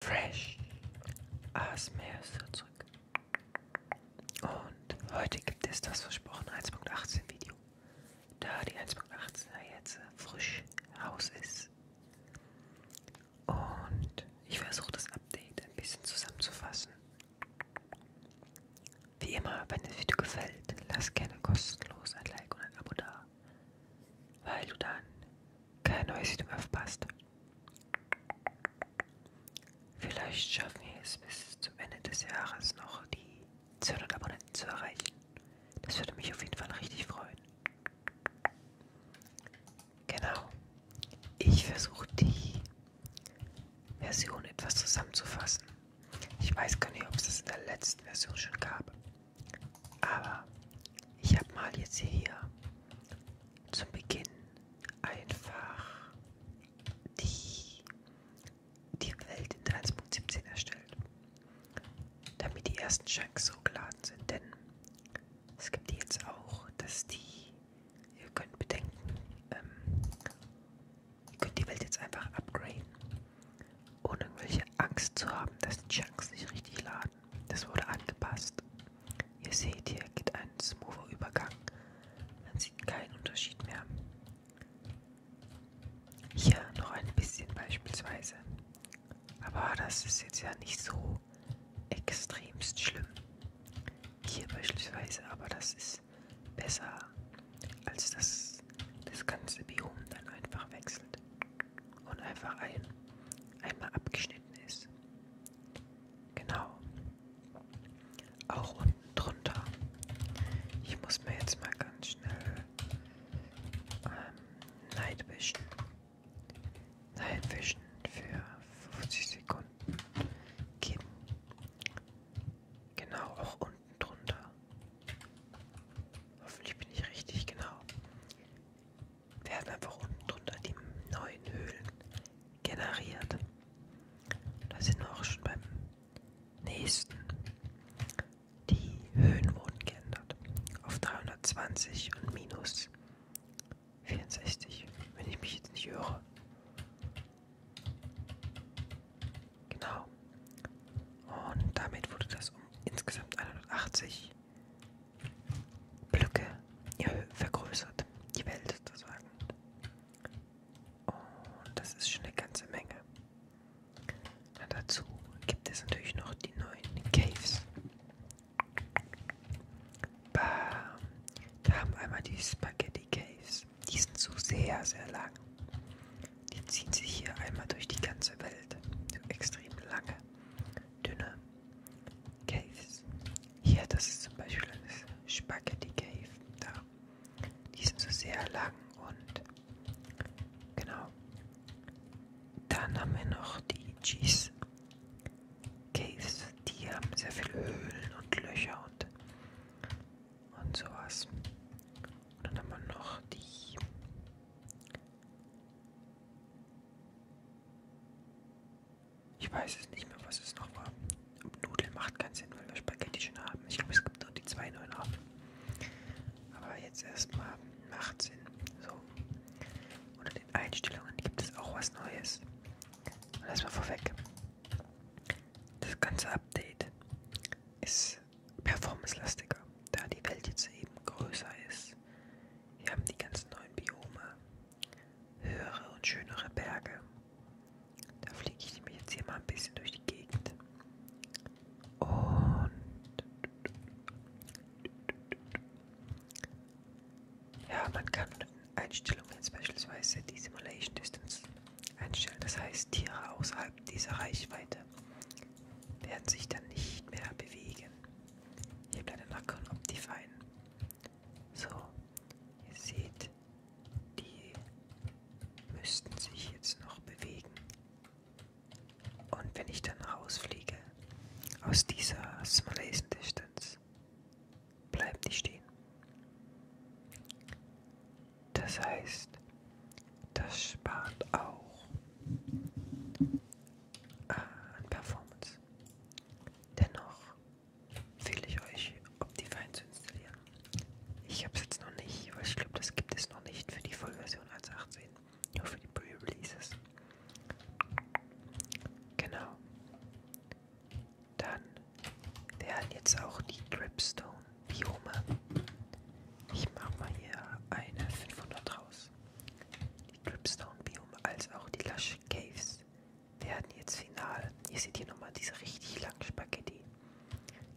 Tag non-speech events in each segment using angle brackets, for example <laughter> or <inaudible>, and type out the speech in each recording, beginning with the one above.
Fresh ASMR ist zurück. Und heute gibt es das versprochene 1.18 Video. Da die 1.18er jetzt äh, frisch raus ist. Und ich versuche das Update ein bisschen zusammenzufassen. Wie immer, wenn das Video gefällt, lass gerne kostenlos ein Like und ein Abo da. Weil du dann kein neues Video mehr verpasst. Vielleicht schaffen wir es bis zum Ende des Jahres noch die 200 Abonnenten zu erreichen. Das würde mich auf jeden Fall richtig freuen. Genau. Ich versuche die Version etwas zusammenzufassen. Ich weiß gar nicht, ob es das in der letzten Version schon gab. Aber ich habe mal jetzt hier zum Beginn einfach die, die Welt in 1.17 erstellt, damit die ersten Shanks hochgeladen sind. Denn es gibt jetzt auch, dass die, ihr könnt bedenken, ähm, ihr könnt die Welt jetzt einfach upgraden, ohne irgendwelche Angst zu haben, dass die Shanks nicht richtig laden an. Das wurde angepasst. Ihr seht, hier geht ein smoother Übergang. Man sieht keinen Unterschied mehr. Hier noch ein bisschen beispielsweise. Aber das ist jetzt ja nicht so extremst schlimm. Hier beispielsweise, aber das ist besser, als dass das ganze Biom dann einfach wechselt und einfach ein, einmal abgeschnitten ist. Genau. Auch unten drunter. Ich muss mir jetzt mal ganz schnell ähm, Nightvision. Nightvision für 50 Sekunden geben. Genau, auch unten drunter. Hoffentlich bin ich richtig genau werden einfach unten drunter die neuen Höhlen generiert. Da sind wir auch schon beim nächsten. Die Höhen wurden geändert auf 320 und minus 64, wenn ich mich jetzt nicht irre. Genau. Und damit wurde das um insgesamt 180 Blöcke ja, vergrößert, die Welt sozusagen. Und das ist schon eine ganze Menge. Und dazu gibt es natürlich noch die neuen Caves. Bam. Wir haben einmal die Spaghetti Caves. Die sind so sehr, sehr lang. Die ziehen sich hier einmal durch die ganze Welt. So extrem lange, dünne Caves. Hier, das ist zum Beispiel das Spaghetti Cave. Da. Die sind so sehr lang und genau. Dann haben wir noch die Cheese Caves. Die haben sehr viele Höhlen und Löcher und, und sowas. Und dann haben wir noch die ich weiß es nicht mehr, was es noch war. Und Nudeln macht keinen Sinn, weil wir Spaghetti schon haben. Ich glaube, es gibt nur die zwei neuen haben. Aber jetzt erstmal macht Sinn. So. Unter den Einstellungen gibt es auch was Neues. Und erstmal vorweg. Das ganze Update ist performance-lastiger, da die Welt jetzt eben größer ist. Wir haben die ganzen neuen Biome, höhere und schönere Berge. Da fliege ich nämlich jetzt hier mal ein bisschen durch die Gegend. Und ja, man kann Einstellungen beispielsweise die Simulation Distance einstellen. Das heißt, Tiere außerhalb dieser Reichweite werden sich dann nicht mehr bewegen. Hier bleibt dann noch Optifine. So, ihr seht, die müssten sich jetzt noch bewegen. Und wenn ich dann rausfliege aus dieser Smalaisen Distance, bleiben die stehen. Das heißt, das spart auch äh, an Performance. Dennoch empfehle ich euch, Optifine zu installieren. Ich habe es jetzt noch nicht, weil ich glaube, das gibt es noch nicht für die Vollversion 1.18, nur für die Pre-Releases. Genau. Dann werden jetzt auch die Dripstone-Biome. Ich mache mal hier eine 500 raus. Die Dripstone-Biome als auch die Lush Caves werden jetzt final. Ihr seht hier nochmal diese richtig langen Spaghetti.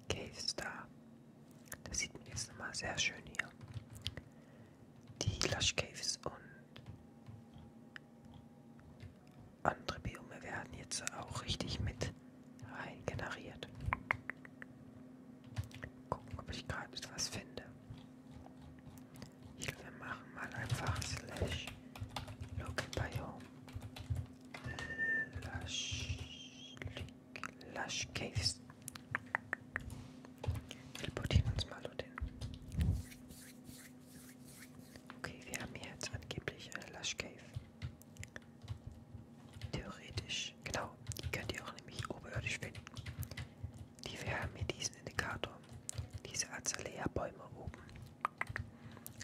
Cave Star. Das sieht man jetzt nochmal sehr schön hier. Die Lush Caves und andere Biome werden jetzt auch richtig mit rein generiert. Gucken, ob ich gerade etwas finde. Hier, wir machen mal einfach slash local biome. Lush, Lush Caves. Teleportieren uns mal dorthin. Okay, wir haben hier jetzt angeblich eine Lush Cave. Theoretisch, genau, die könnt ihr auch nämlich oberirdisch finden. Die, wir haben hier diesen Indikator diese Azalea-Bäume oben.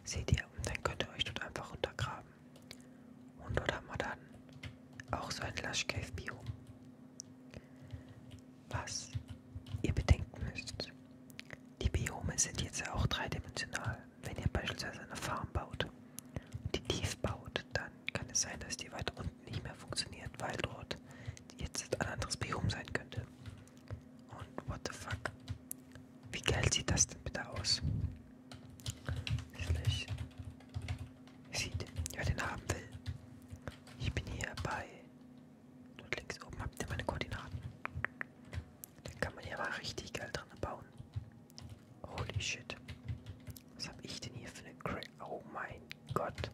Seht ihr, und dann könnt ihr euch dort einfach runtergraben. Und dort haben wir dann auch so ein Lush Cave Biom. Was ihr bedenken müsst, die Biome sind jetzt auch dreidimensional. Wenn ihr beispielsweise eine Farm baut und die tief baut, dann kann es sein, dass die weiter unten nicht mehr funktioniert, weil dort jetzt ein anderes Biom sein könnte. Und what the fuck? Wie geil sieht das denn bitte aus? Slash. Sieht, wer den haben will. Ich bin hier bei. Dort links oben habt ihr meine Koordinaten. Da kann man ja mal richtig geil dran bauen. Holy shit. Was hab ich denn hier für eine Crack? Oh mein Gott.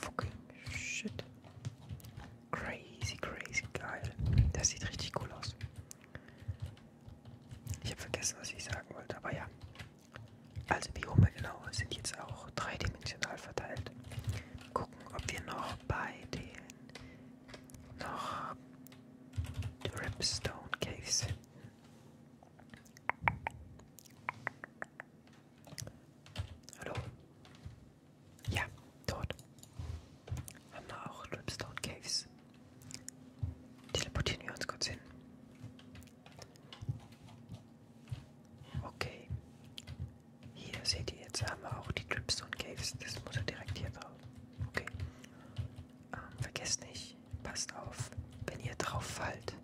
Fucking shit. Crazy, crazy geil. Das sieht richtig cool aus. Ich habe vergessen, was ich sagen wollte, aber ja. Also Biome genau sind jetzt auch dreidimensional verteilt. Gucken, ob wir noch bei den noch Ripstone Caves finden. Hallo? Ja, dort. Haben wir auch Ripstone Caves. Teleportieren wir uns kurz hin. Okay. Hier seht ihr, jetzt haben wir auch die Dripstone Caves. Das muss ja direkt hier drauf. Okay. Ähm, vergesst nicht, passt auf, wenn ihr drauf fallt,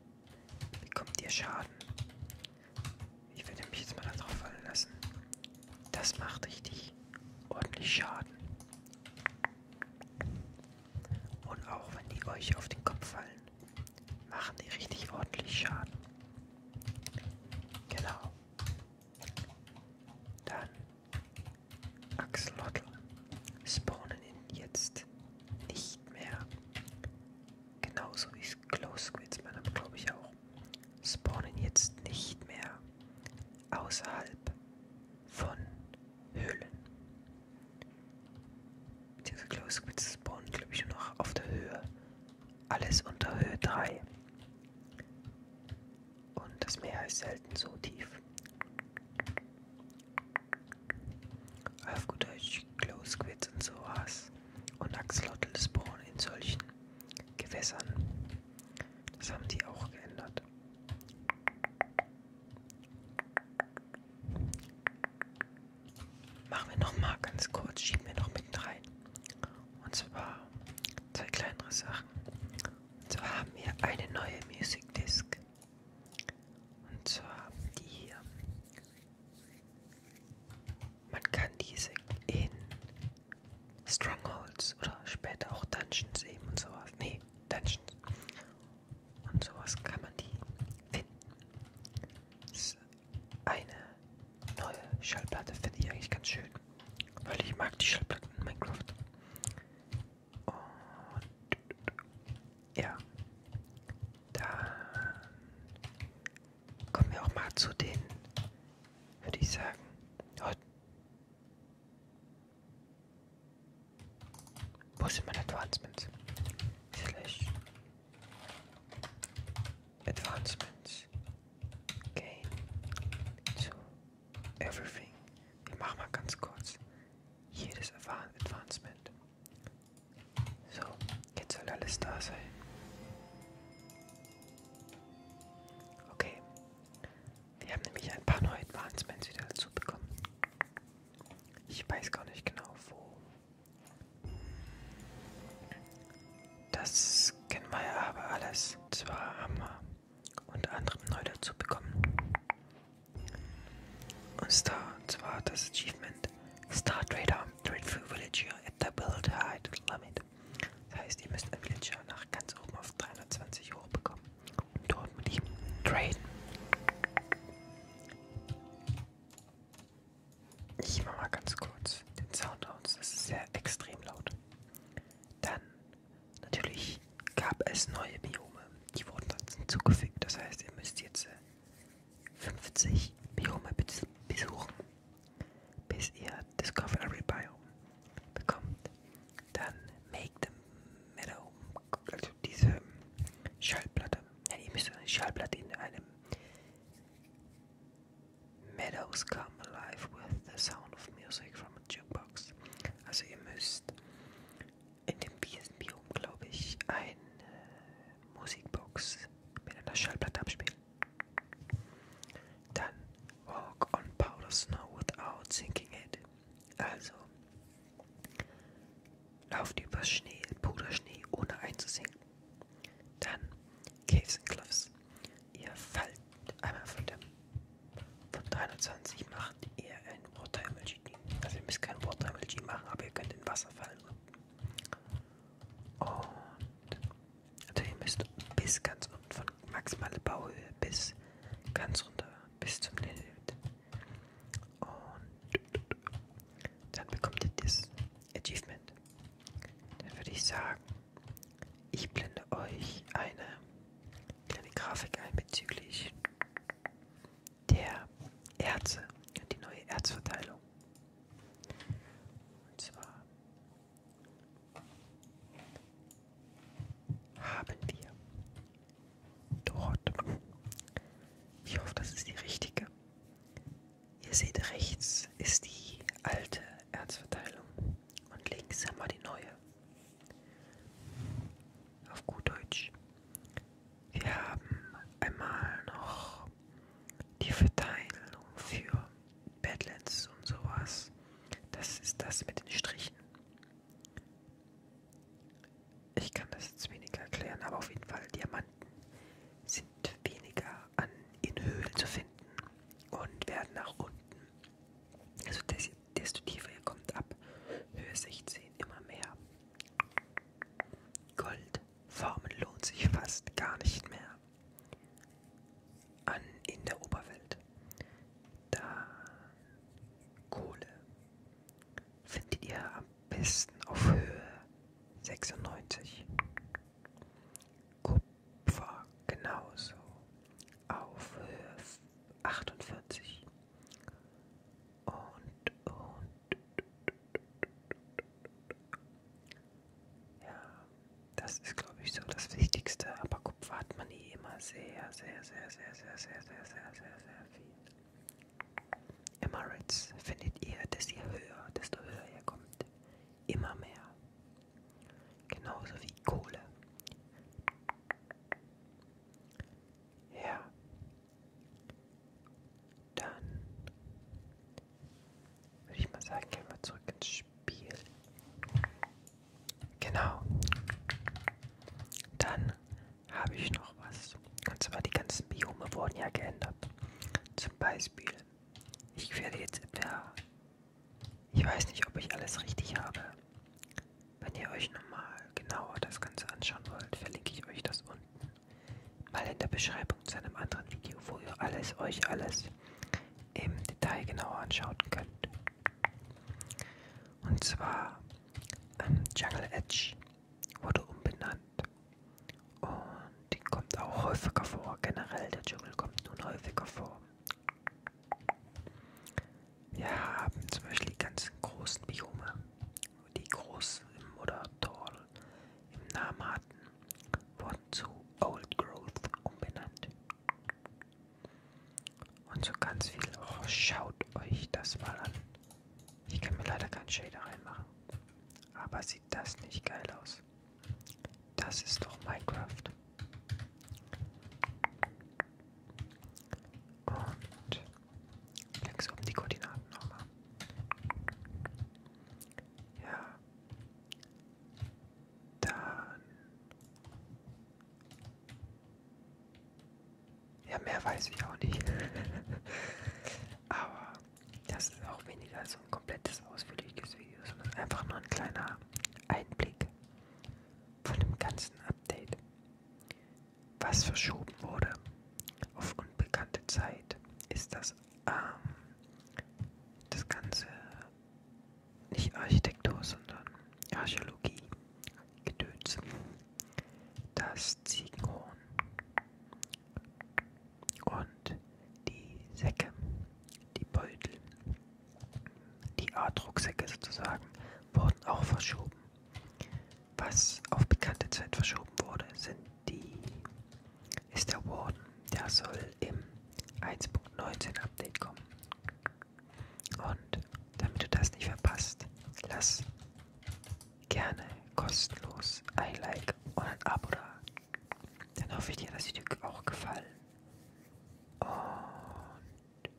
Bekommt ihr Schaden? Ich werde mich jetzt mal da drauf fallen lassen. Das macht richtig ordentlich Schaden. Und auch wenn die euch auf den Kopf fallen, machen die richtig ordentlich Schaden. Genau. Dann Axolotl spawnen ihn jetzt nicht mehr. Genauso wie Glow Squids, man hat glaube ich auch, spawnen jetzt nicht mehr außerhalb von Höhlen. Diese Glow Squids spawnen glaube ich nur noch auf der Höhe. Alles unter Höhe 3. Und das Meer ist selten so tief. Auf gut Deutsch Close Quits und sowas. Und Axolotl spawnen in solchen Gewässern. Das haben die auch geändert. Machen wir nochmal ganz kurz, schieben wir noch mit rein. Und zwar zwei kleinere Sachen. Und zwar haben wir eine neue Music Disc. Und zwar die hier. Man kann diese in Strongholds oder später auch Dungeons eben und sowas. Nee, Dungeons. Und sowas kann man die finden. Das ist eine neue Schallplatte finde ich eigentlich ganz schön. Weil ich mag die Schallplatten in Minecraft. Und ja. Dann kommen wir auch mal zu den, würde ich sagen. Oh. Wo sind meine Advancements? Slash. Advancements. Gain. To everything. Wir machen mal ganz kurz jedes Advancement. So, jetzt soll alles da sein. Okay. Wir haben nämlich ein paar neue Advancements wieder dazu bekommen. Ich weiß gar nicht genau wo. Das kennen wir ja aber alles. Und zwar haben wir unter anderem neu dazu bekommen. Und zwar, zwar das Achievement Star Trader. Dreadful Villager at the Build Height Limit. Das heißt, ihr müsst einen Villager nach ganz oben auf 320 hoch bekommen und dort mit ihm traden. Ich mache mal ganz kurz den Sound aus, das ist sehr extrem laut. Dann, natürlich gab es neue Biome, die wurden dann hinzugefügt. Das heißt, ihr müsst jetzt äh, 50 Biome besuchen, bis ihr Discovery Biome bekommt. Dann Make the Meadow, also diese Schallplatte. Ja, ihr müsst eine Schallplatte in einem Meadows come alive with the sound of music from a jukebox. Also ihr müsst in dem Wiesenbiom, glaube ich, ein äh, Musikbox mit einer Schallplatte abspielen. Dann Walk on Powder Snow without sinking it. Also, lauft über Schnee, Puderschnee, ohne einzusinken. Dann Caves and Cliffs. Ihr fallt einmal von dem von 23 macht ihr ein Water Emoji. Also ihr müsst kein Water Emoji machen, aber ihr könnt in Wasser fallen und und also ihr müsst bis ganz unten von maximale Bauhöhe bis ganz runter, bis zum Limit. Und dann bekommt ihr das Achievement. Dann würde ich sagen, ich blende euch eine kleine Grafik ein bezüglich der Erze und die neue Erzverteilung. Und zwar haben wir dort, ich hoffe, das ist die richtige. Ihr seht, rechts ist die alte Erzverteilung und links haben wir die neue. Auf gut Deutsch. Wir haben einmal noch die Verteilung für Badlands und sowas. Das ist das mit den Strichen. Ich kann das jetzt weniger erklären, aber auf jeden Fall Diamanten sind weniger an, in Höhlen zu finden und werden nach unten, also desto tiefer ihr kommt ab, Höhe 16 immer mehr Gold. Farmen lohnt sich fast gar nicht mehr. An in der Oberwelt. Da Kohle findet ihr am besten auf Höhe 96. Kupfer genauso auf Höhe 48. Und, und, ja, das ist, glaube ich, so das Wichtigste. Aber Kupfer hat man eh immer sehr, sehr, sehr, sehr, sehr, sehr, sehr, sehr, sehr, sehr viel. Emirates findet ihr, dass ihr höher, desto höher ihr kommt. Immer mehr. Genauso wie Kohle. Ja dann würde ich mal sagen, gehen wir zurück ins Spiel. Genau. Dann habe ich noch was. Und zwar die ganzen Biome wurden ja geändert. Zum Beispiel, ich werde jetzt etwa. Ich weiß nicht, ob ich alles richtig habe. Wenn ihr euch nochmal genauer das Ganze anschauen wollt, verlinke ich euch das unten mal in der Beschreibung zu einem anderen Video, wo ihr alles euch alles im Detail genauer anschauen könnt. Und zwar ähm, Jungle Edge wurde umbenannt und die kommt auch häufiger vor. Generell der Dschungel kommt nun häufiger vor. Wir haben zum Beispiel die ganzen großen Biome, die großen oder Dorn im Namaten wurden zu Old Growth umbenannt. Und so ganz viel. Oh, schaut euch das mal an. Ich kann mir leider keinen Shader reinmachen. Aber sieht das nicht geil aus? Das ist doch Minecraft. Und links oben die Koordinaten nochmal. Ja, dann. Ja, mehr weiß ich auch nicht. <laughs> Aber das ist auch weniger so ein komplettes, ausführliches Video, sondern einfach nur ein kleiner Einblick von dem ganzen Update. Was verschoben wurde auf unbekannte Zeit ist das ähm, das Ganze nicht Architektur, sondern Archäologie gedöns. Das Ziegenhorn und die Säcke, die Beutel, die A-Drucksäcke sozusagen, wurden auch verschoben. Was auf bekannte Zeit verschoben wurde, sind die ist der Warden. Der soll im 1.19 Update kommen. Und damit du das nicht verpasst, lass gerne kostenlos ein Like und ein Abo da. Dann hoffe ich dir, dass die Stücke auch gefallen. Und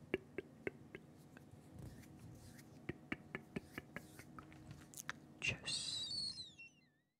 tschüss.